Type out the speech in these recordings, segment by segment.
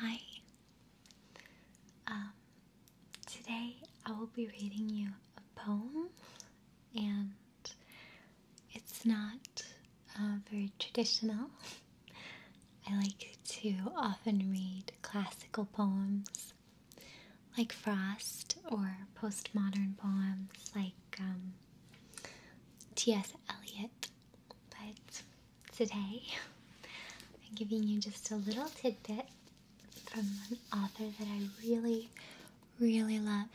Hi. Um, today I will be reading you a poem, and it's not uh, very traditional. I like to often read classical poems like Frost or postmodern poems like um, T.S. Eliot but today I'm giving you just a little tidbit from an author that I really, really love.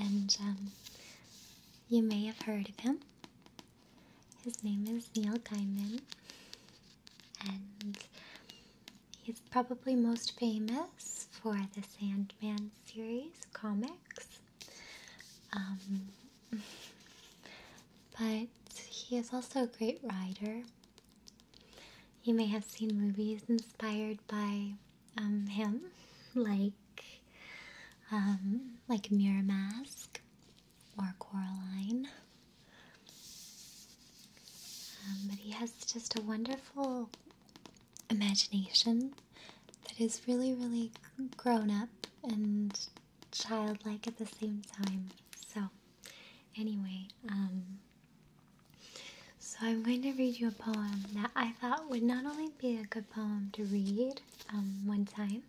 And um, you may have heard of him. His name is Neil Gaiman, and he's probably most famous for the Sandman series comics. Um, but he is also a great writer. You may have seen movies inspired by um, him, like um, like Mirror Mask or Coraline. but he has just a wonderful imagination that is really, really grown up and childlike at the same time. So, anyway, um, so I'm going to read you a poem that I thought would not only be a good poem to read um, one time,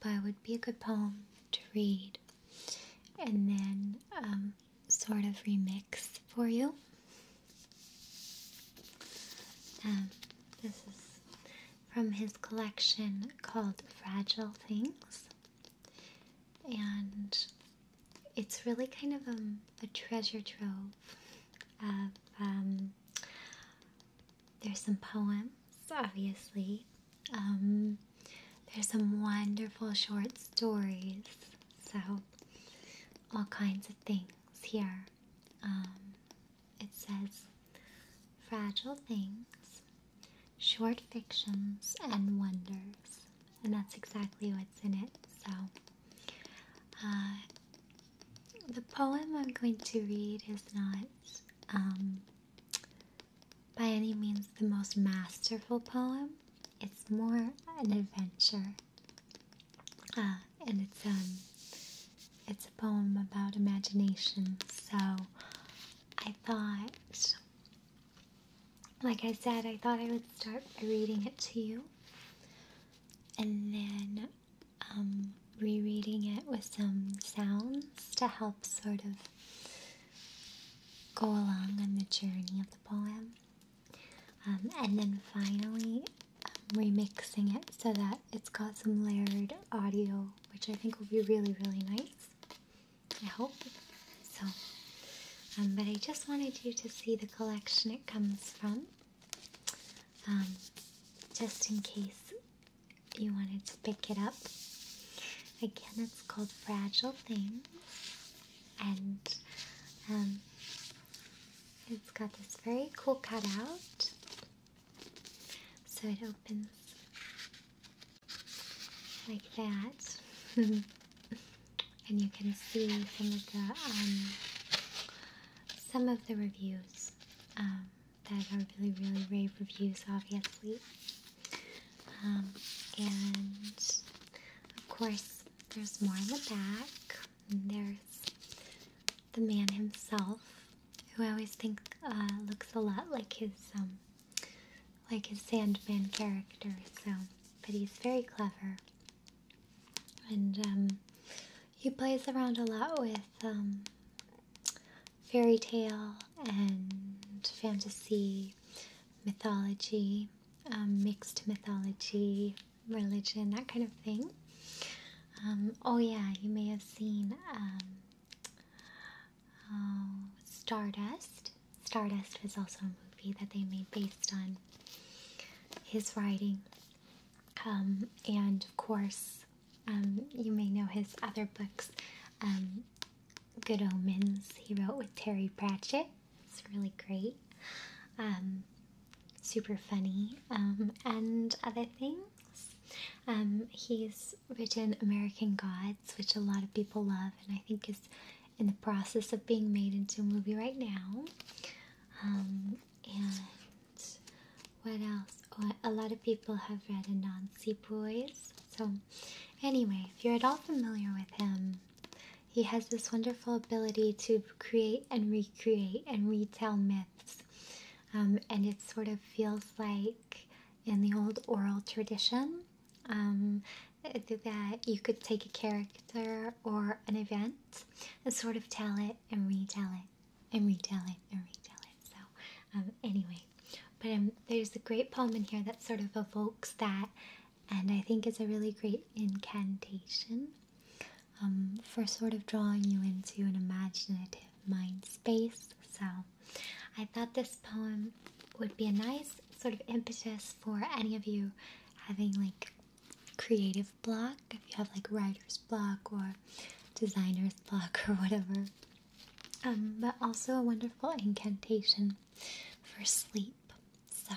but would be a good poem to read and then um, sort of remix for you. this is from his collection called Fragile Things. And it's really kind of um, a treasure trove of. Um, there's some poems, obviously. Um, there's some wonderful short stories. So, all kinds of things here. Um, it says fragile things, short fictions, and wonders. And that's exactly what's in it. So, uh, the poem I'm going to read is not um, by any means the most masterful poem, it's more an adventure. Uh, and it's um it's a poem about imagination. So I thought like I said, I thought I would start by reading it to you and then um, rereading it with some sounds to help sort of go along on the journey of the poem. Um, and then finally, remixing it so that it's got some layered audio, which I think will be really, really nice. I hope. So, um, but I just wanted you to see the collection it comes from, um, just in case you wanted to pick it up. Again, it's called Fragile Things, and um, it's got this very cool cutout so it opens like that. and you can see some of the um, some of the reviews um, that are really, really rave reviews, obviously. Um, and of course, there's more in the back. And there's the man himself, who I always think uh, looks a lot like his um, like his Sandman character. So, but he's very clever, and um, he plays around a lot with um, fairy tale and fantasy, mythology, mixed mythology religion, that kind of thing. Um, oh, yeah, you may have seen um, oh, Stardust. Stardust was also a movie that they made based on his writing. Um, and of course, you may know his other books, Good Omens, he wrote with Terry Pratchett. It's really great super funny, um, and other things. Um, he's written American Gods, which a lot of people love, and I think is in the process of being made into a movie right now. Um, and what else? a lot of people have read Anansi Boys. So, anyway, if you're at all familiar with him, he has this wonderful ability to create and recreate and retell myth um, and it sort of feels like in the old oral tradition um, that you could take a character or an event and sort of tell it and retell it and retell it and retell it. So, um, anyway, but there's a great poem in here that sort of evokes that, and I think is a really great incantation. Um, for sort of drawing you into an imaginative mind space. So I thought this poem would be a nice sort of impetus for any of you having like creative block, if you have like writer's block or designer's block or whatever. Um, but also a wonderful incantation for sleep. So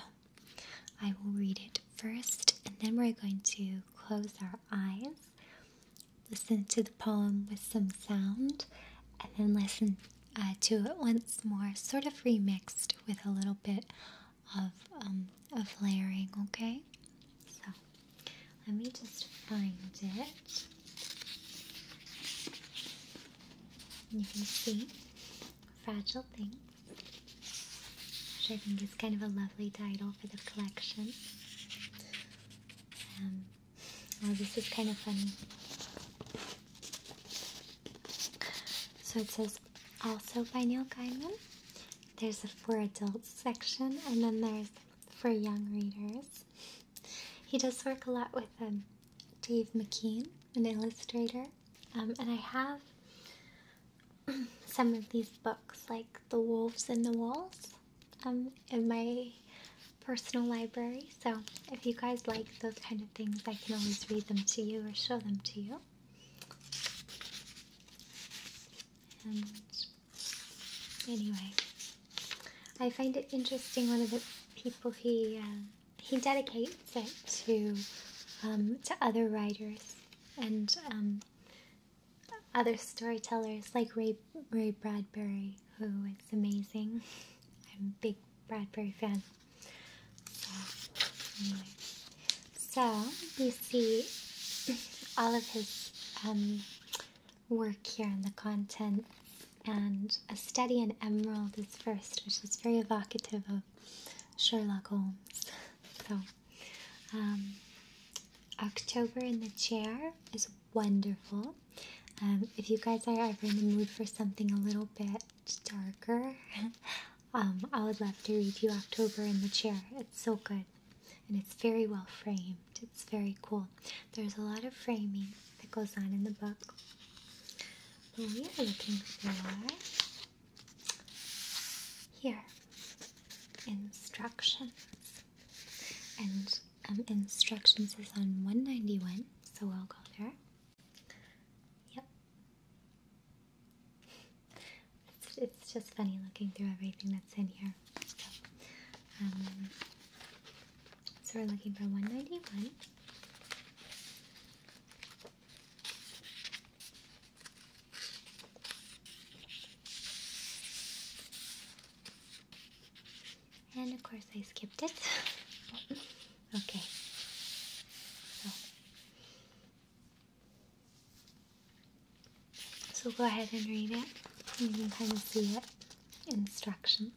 I will read it first and then we're going to close our eyes, listen to the poem with some sound, and then listen uh, to it once more, sort of remixed with a little bit of, um, of layering, okay? So, let me just find it. You can see Fragile thing which I think is kind of a lovely title for the collection. Um, this is kind of funny. So it says also by Neil Gaiman. There's a for adults section, and then there's for young readers. He does work a lot with um, Dave McKean, an illustrator, um, and I have some of these books, like The Wolves in the Walls, um, in my personal library. So if you guys like those kind of things, I can always read them to you or show them to you. And anyway, I find it interesting. One of the people he uh, he dedicates it to um, to other writers, and um, other storytellers like Ray Ray Bradbury, who is amazing. I'm a big Bradbury fan. So, we see all of his um, work here in the content, and a study in Emerald is first, which is very evocative of Sherlock Holmes. So um, October in the Chair is wonderful. Um, if you guys are ever in the mood for something a little bit darker, um, I would love to read you October in the Chair. It's so good. And it's very well framed. It's very cool. There's a lot of framing that goes on in the book. But we are looking for here, instructions. And um, instructions is on 191, so I'll go there. Yep. It's, just funny looking through everything that's in here. so um, we're looking for 191. And of course I skipped it. okay. So. go ahead and read it. You can kind of see it. Instructions.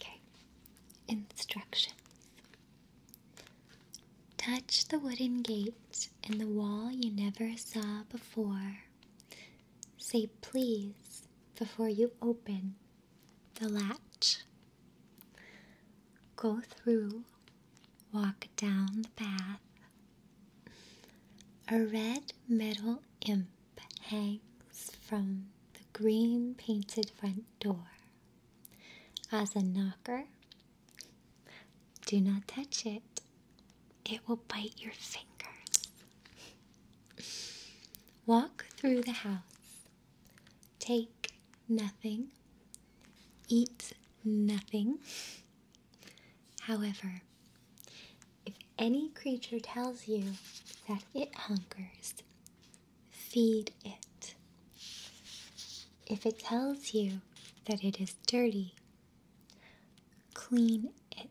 Okay. Instructions. Touch the wooden gate in the wall you never saw before. Say please before you open the latch. Go through, walk down the path. A red metal imp hangs from the green painted front door. As a knocker, do not touch it. It will bite your fingers. Walk through the house. Take nothing. Eat nothing. However, if any creature tells you that it hunkers feed it. If it tells you that it is dirty, clean it.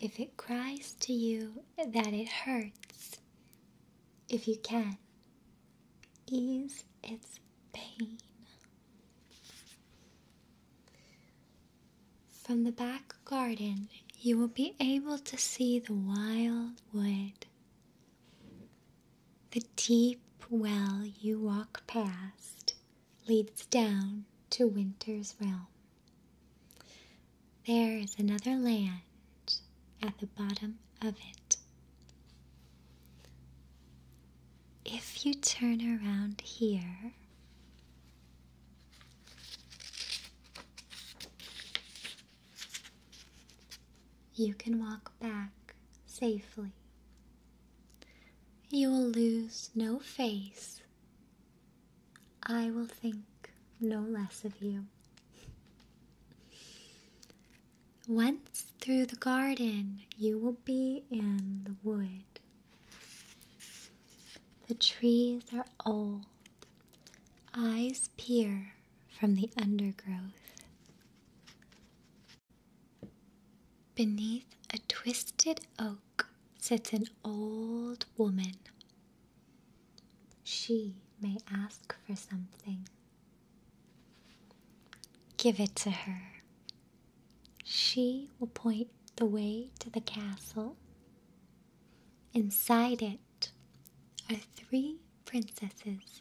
If it cries to you that it hurts, if you can, ease its pain. From the back garden, you will be able to see the wild wood. The deep well you walk past leads down to Winter's realm. There is another land at the bottom of it. If you turn around here, you can walk back safely. You will lose no face. I will think no less of you. Once through the garden, you will be in the wood. The trees are old, eyes peer from the undergrowth. Beneath a twisted oak sits an old woman. She may ask for something. Give it to her. She will point the way to the castle. Inside it are three princesses.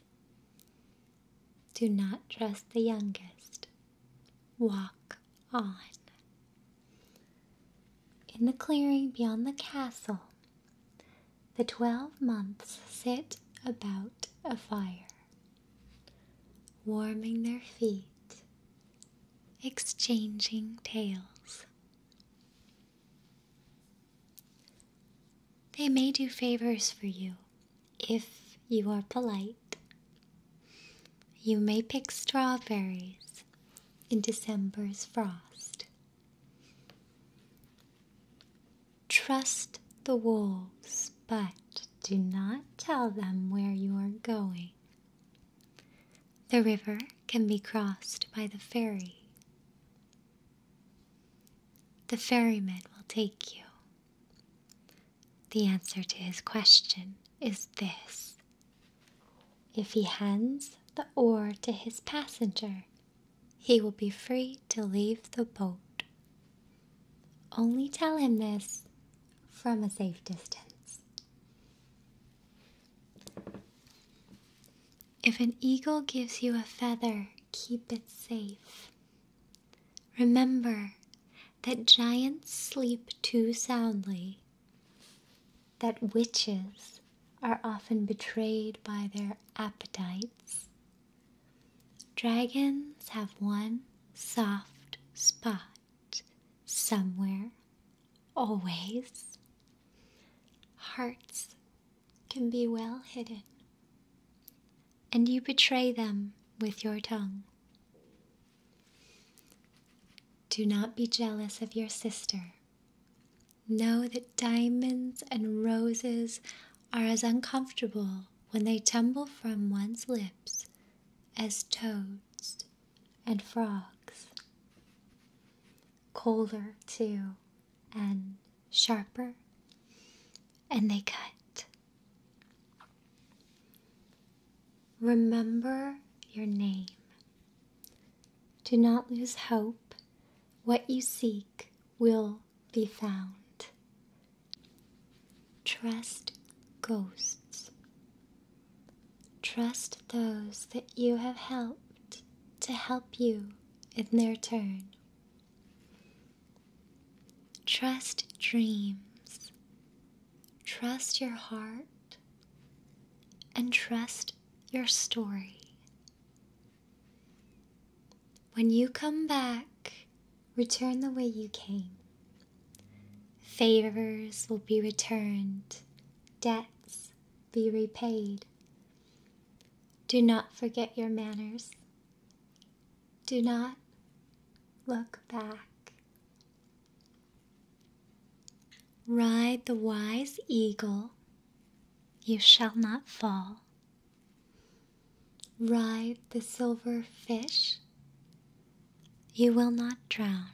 Do not trust the youngest. Walk on. In the clearing beyond the castle, the twelve months sit about a fire, warming their feet, exchanging tales. They may do favors for you if you are polite. You may pick strawberries in December's frost. Trust the wolves, but do not tell them where you are going. The river can be crossed by the ferry. The ferryman will take you. The answer to his question is this If he hands the oar to his passenger, he will be free to leave the boat. Only tell him this from a safe distance. If an eagle gives you a feather, keep it safe. Remember that giants sleep too soundly, that witches are often betrayed by their appetites. Dragons have one soft spot somewhere always, hearts can be well hidden, and you betray them with your tongue. Do not be jealous of your sister. Know that diamonds and roses are as uncomfortable when they tumble from one's lips as toads and frogs colder too and sharper, and they cut. Remember your name. Do not lose hope. What you seek will be found. Trust ghosts. Trust those that you have helped to help you in their turn. Trust dreams. Trust your heart. And trust your story. When you come back, return the way you came. Favors will be returned, debts be repaid. Do not forget your manners. Do not look back. Ride the wise eagle, you shall not fall. Ride the silver fish, you will not drown.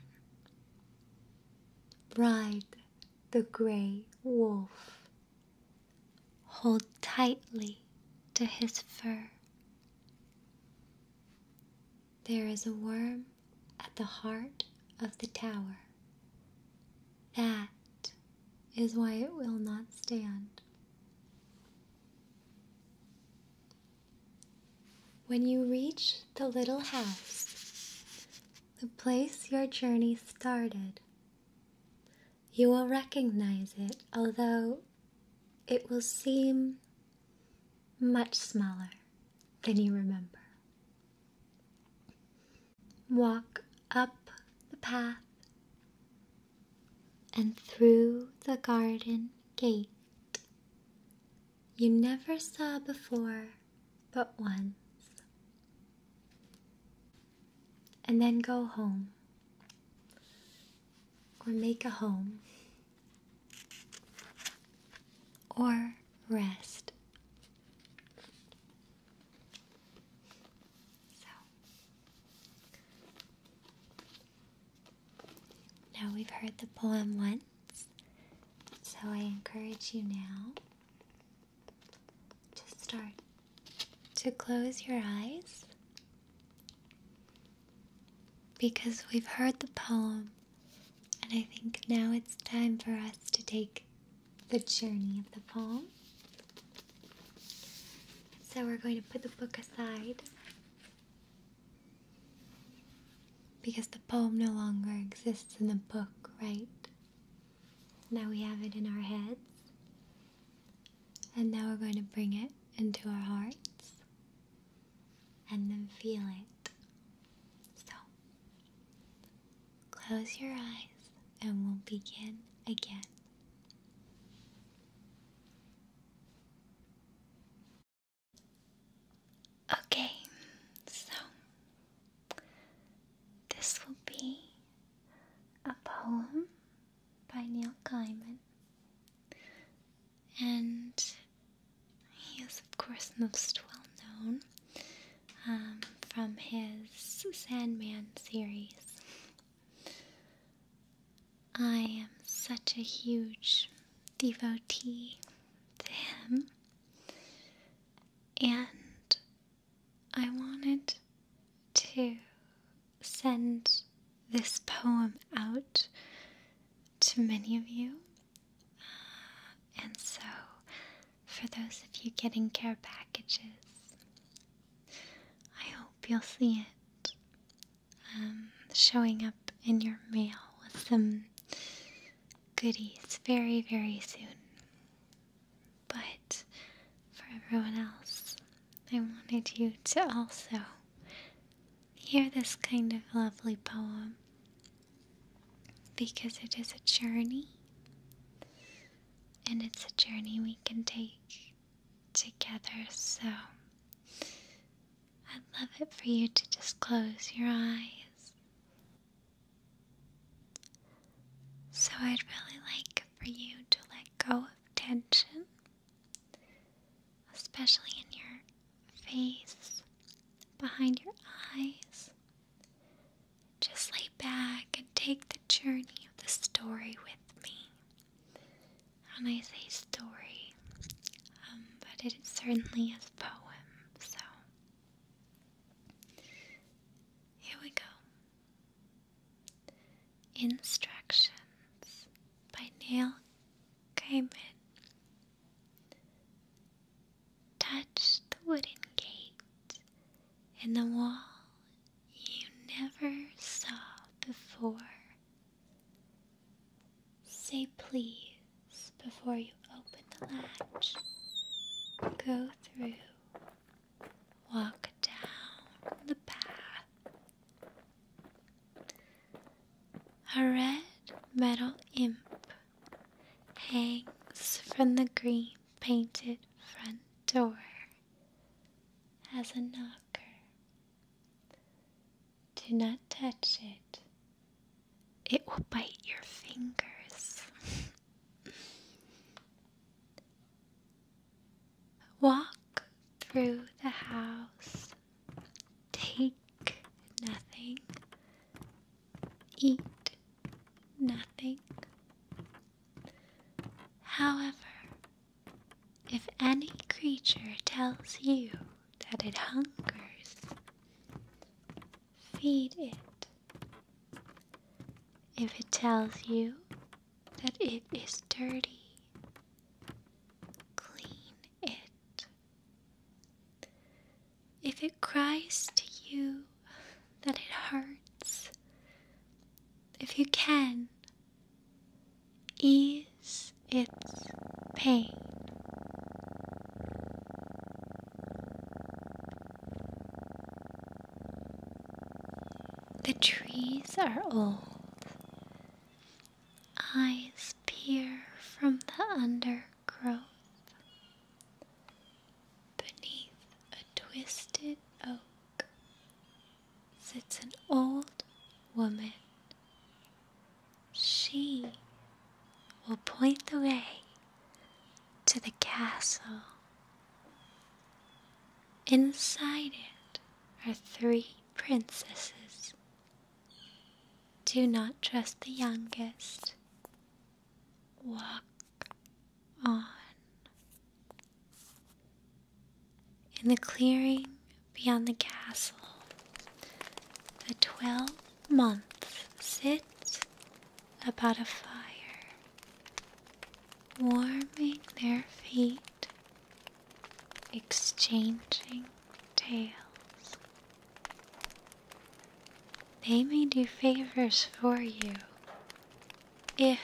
Ride the gray wolf. Hold tightly to his fur. There is a worm at the heart of the tower. That is why it will not stand. When you reach the little house, the place your journey started. You will recognize it, although it will seem much smaller than you remember. Walk up the path and through the garden gate you never saw before but once. And then go home or make a home or rest. So now we've heard the poem once. So I encourage you now to start to close your eyes because we've heard the poem, and I think now it's time for us to take the journey of the poem. So we're going to put the book aside because the poem no longer exists in the book, right? Now we have it in our heads. And now we're going to bring it into our hearts and then feel it. So, close your eyes and we'll begin again. Okay, so this will be a poem by Neil Gaiman, and he is, of course, most well known um, from his Sandman series. I am such a huge devotee to him and I wanted to send this poem out to many of you. Uh, and so, for those of you getting care packages, I hope you'll see it um, showing up in your mail with them goodies very, very soon. But for everyone else, I wanted you to also hear this kind of lovely poem because it is a journey, and it's a journey we can take together. So I'd love it for you to just close your eyes so, I'd really like for you to let go of tension, especially in your face, behind your eyes. Just lay back and take the journey of the story with me. When I say story, um, but it certainly is poem, so here we go. Instructions by Neil Gaiman. Touch the wooden gate in the wall you never saw before. Say please before you open the latch. Go through. Walk down the path. A red metal imp hangs from the green painted front door as a knocker. Do not touch it, it will bite your fingers. Walk through the house, take nothing, eat nothing. However, if any creature tells you that it hungers, feed it. If it tells you that it is dirty, clean it. If it cries to you that it hurts, if you can, ease it pain. The trees are old. Eyes peer from the undergrowth. Beneath a twisted oak sits an old woman she will point the way to the castle. Inside it are three princesses. Do not trust the youngest. Walk on. In the clearing beyond the castle, the twelve months sit about a fire, warming their feet, exchanging tales. They may do favors for you if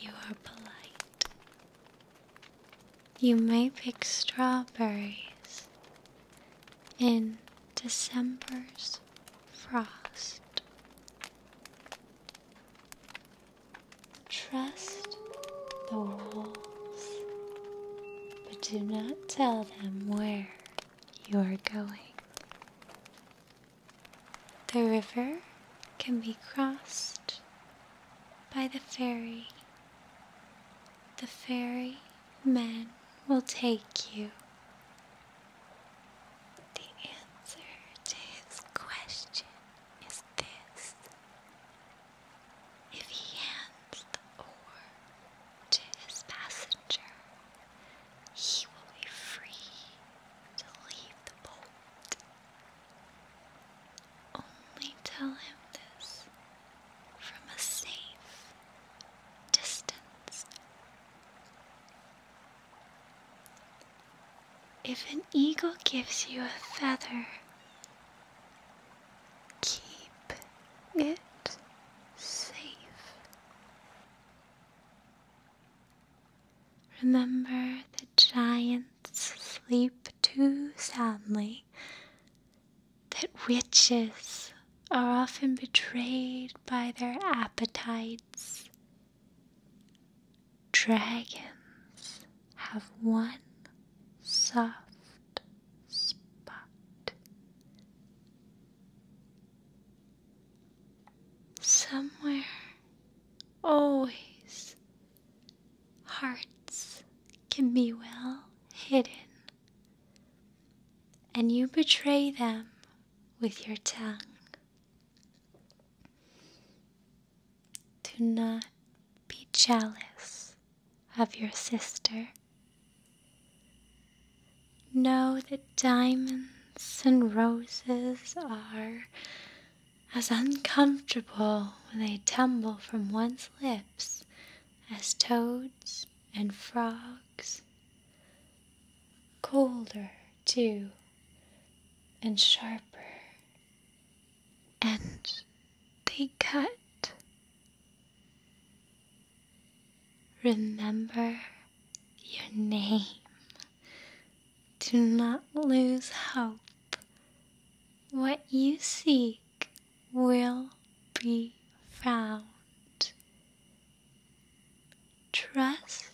you are polite. You may pick strawberries in December's frost. Trust the wolves, but do not tell them where you are going. The river can be crossed by the ferry the fairy men will take you. The answer to his question is this if he hands the oar to his passenger, he will be free to leave the boat. Only tell him this from a safe distance. If an eagle gives you a feather, keep it safe. Remember, the giants sleep too soundly that witches are often betrayed by their appetites. Dragons have one soft spot. Somewhere, always, hearts can be well hidden and you betray them with your tongue. Do not be jealous of your sister. Know that diamonds and roses are as uncomfortable when they tumble from one's lips as toads and frogs. Colder, too, and sharper. And they cut. Remember your name. Do not lose hope. What you see will be found. Trust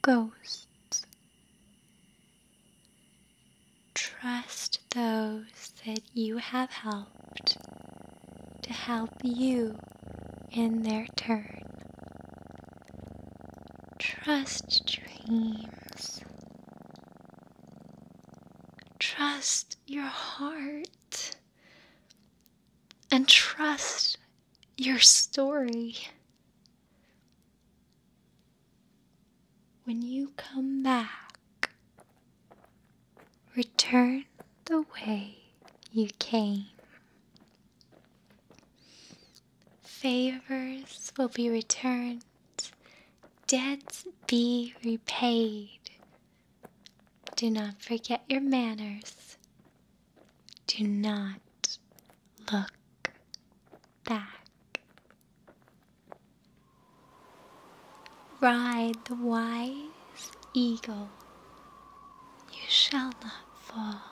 ghosts. Trust those that you have helped to help you in their turn. Trust dreams. Trust your heart and trust your story. When you come back, return the way you came. Favors will be returned Debts be repaid. Do not forget your manners. Do not look back. Ride the wise eagle. You shall not fall.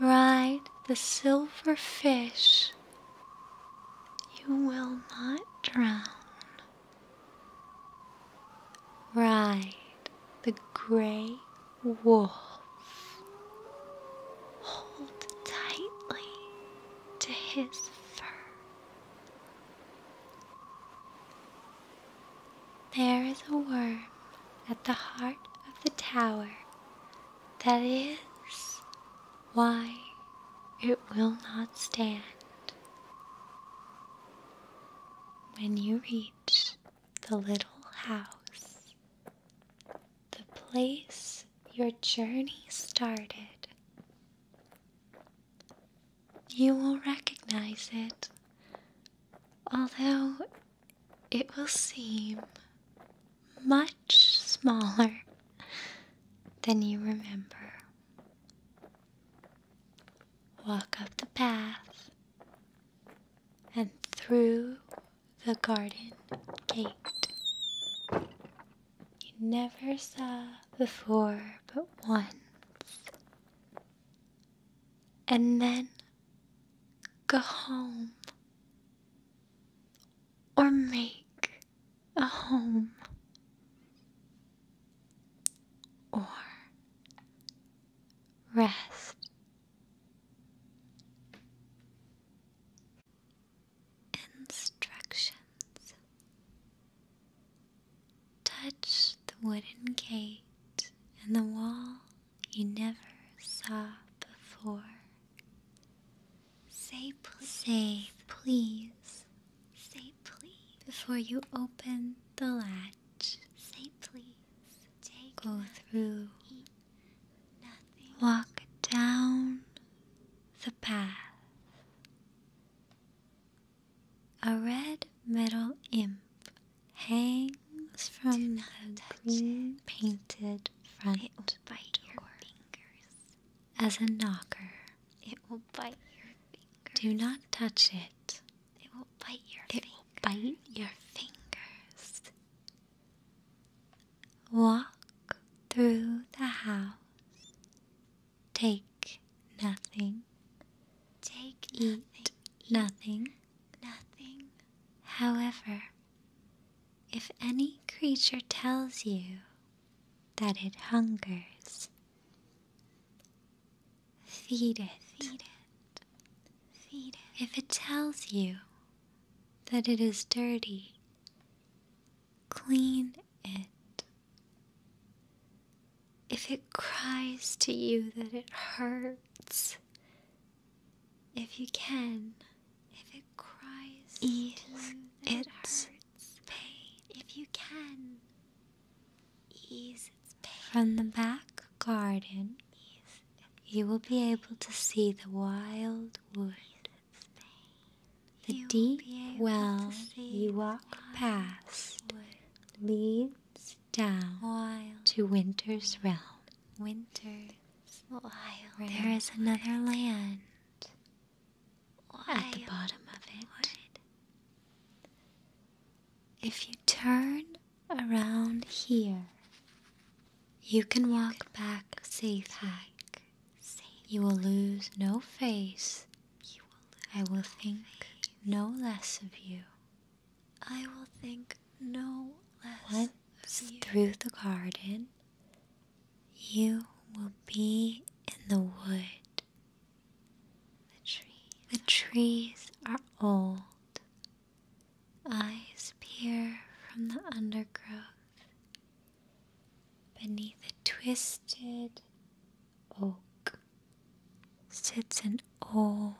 Ride the silver fish. You will not drown. Ride the gray wolf. Hold tightly to his fur. There is a worm at the heart of the tower that is why it will not stand. When you reach the little house, the place your journey started, you will recognize it, although it will seem much smaller than you remember. Walk up the path and through the garden gate you never saw before but once. And then go home or make a home or rest. Instructions Touch the wooden gate and the wall you never saw before. Say please. Say please. Say please. Before you open the latch. Say please. Go through. nothing. Walk down the path. A red metal imp hangs from the green painted front bite your fingers. As a knocker, it will bite your fingers. Do not touch it. It will bite your fingers. bite your fingers. Walk through the house. Take nothing. Take Eat Eat nothing. Nothing. However, if any creature tells you that it hungers, feed it. Feed it. Feed it. If it tells you that it is dirty, clean it. If it cries to you that it hurts, if you can, if it cries, ease its hurts. pain. If you can, ease its pain. From the back garden, you will be able to see the wild wood, the deep well you walk past leads down to winter's realm. Winter there is another land at the bottom of it. If you turn around here, you can walk back safe, hack. You will lose no face. I will think no less of you. I will think no less of you. through the garden, you will be in the wood. The trees, are old. Eyes peer from the undergrowth beneath a twisted oak sits an old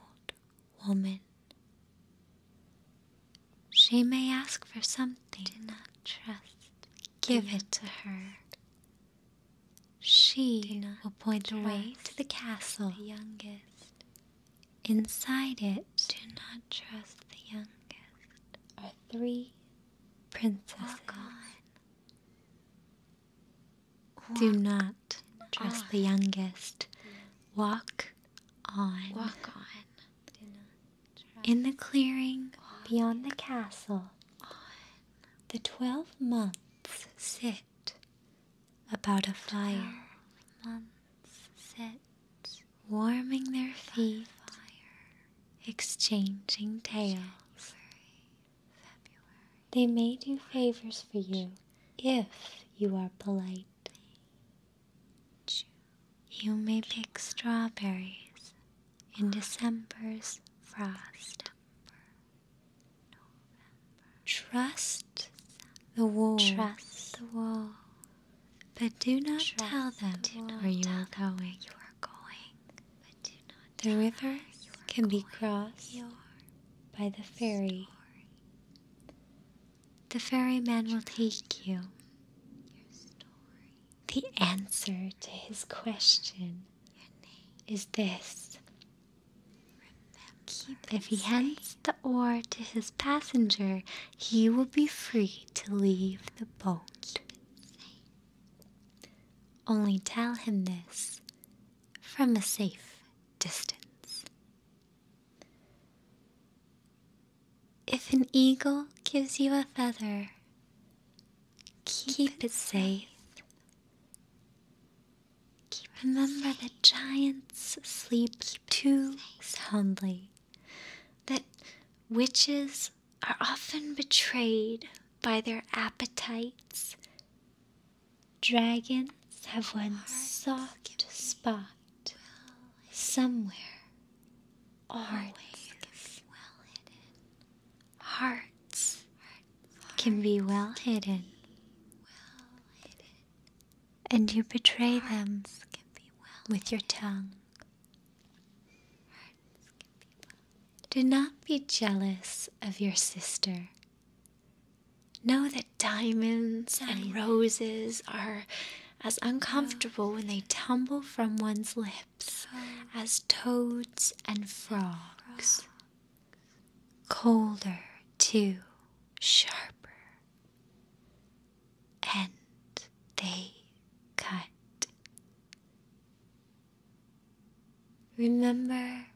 woman. She may ask for something. Do not trust. Give it to her. She will point the way to the castle. The youngest. Inside it, do not trust the youngest. Are three princesses. Do not trust the youngest. Walk on. Walk on. In the clearing beyond the castle, the twelve months sit about a fire, warming their feet, exchanging tales. They may do favors for you if you are polite. You may pick strawberries in December's frost. Trust the wolves. But do not tell them the where you are going. the river can be crossed by the ferry. The ferryman will take you. The answer to his question is this. if he hands the oar to his passenger, he will be free to leave the boat. Only tell him this from a safe distance. If an eagle gives you a feather, keep, it safe. Remember that giants sleep too soundly, that witches are often betrayed by their appetites. Dragons have one soft spot somewhere hearts well hearts, can be well hidden. and you betray them with your tongue do not be jealous of your sister know that diamonds and roses are as uncomfortable when they tumble from one's lips as toads and frogs. Colder, too, sharper. And they cut. Remember,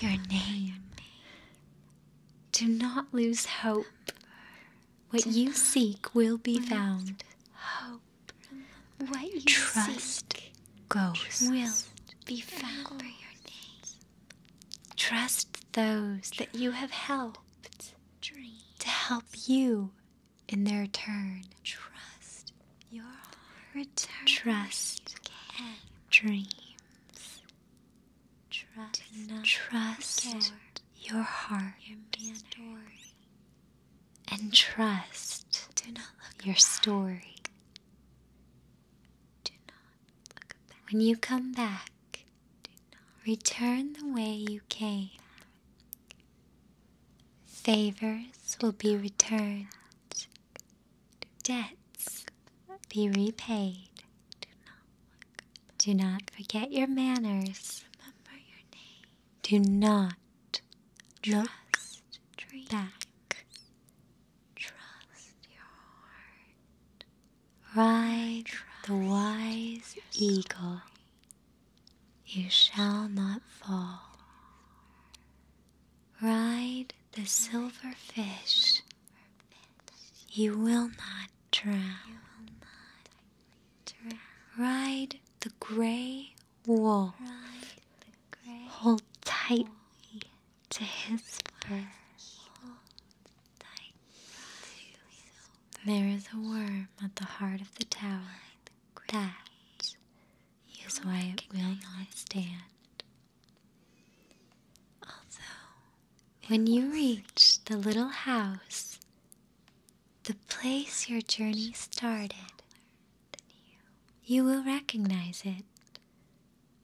Your name. Do not lose hope. What you seek will be found. Hope. What you trust seek goes will be found. Trust those that you have helped to help you in their turn. Trust your heart. Return. Trust dreams. Trust, trust your heart your story. and trust your story. When you come back, return the way you came. Favors will be returned, debts be repaid. Do not forget your manners. Do not just look back. Trust your heart. Ride the wise eagle. You shall not fall. Ride the silver fish you will not drown. Ride the gray wool. Hold tightly to his fur. There is a worm at the heart of the tower. That is why it will not stand. When you reach the little house, the place your journey started, you will recognize it,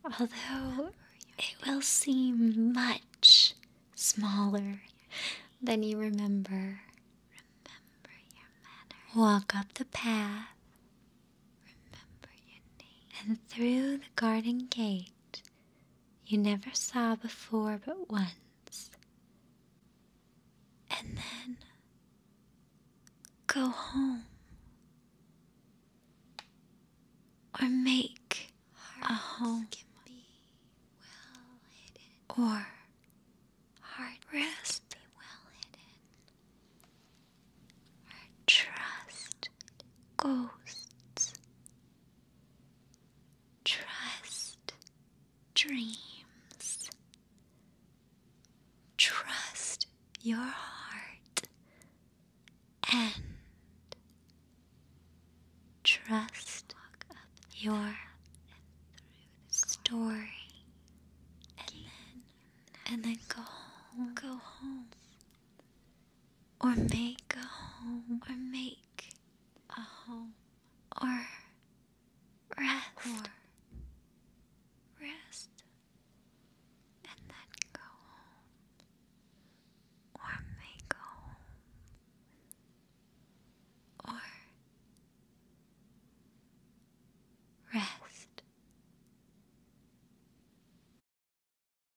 although it will seem much smaller than you remember. Walk up the path. And through the garden gate you never saw before but once. And then go home or make a home well or Hearts rest or trust ghosts Trust dreams. Trust your heart and trust your story and then and then go home go home or make a home, or make a home, or rest, or rest, and then go home, or make a home, or rest.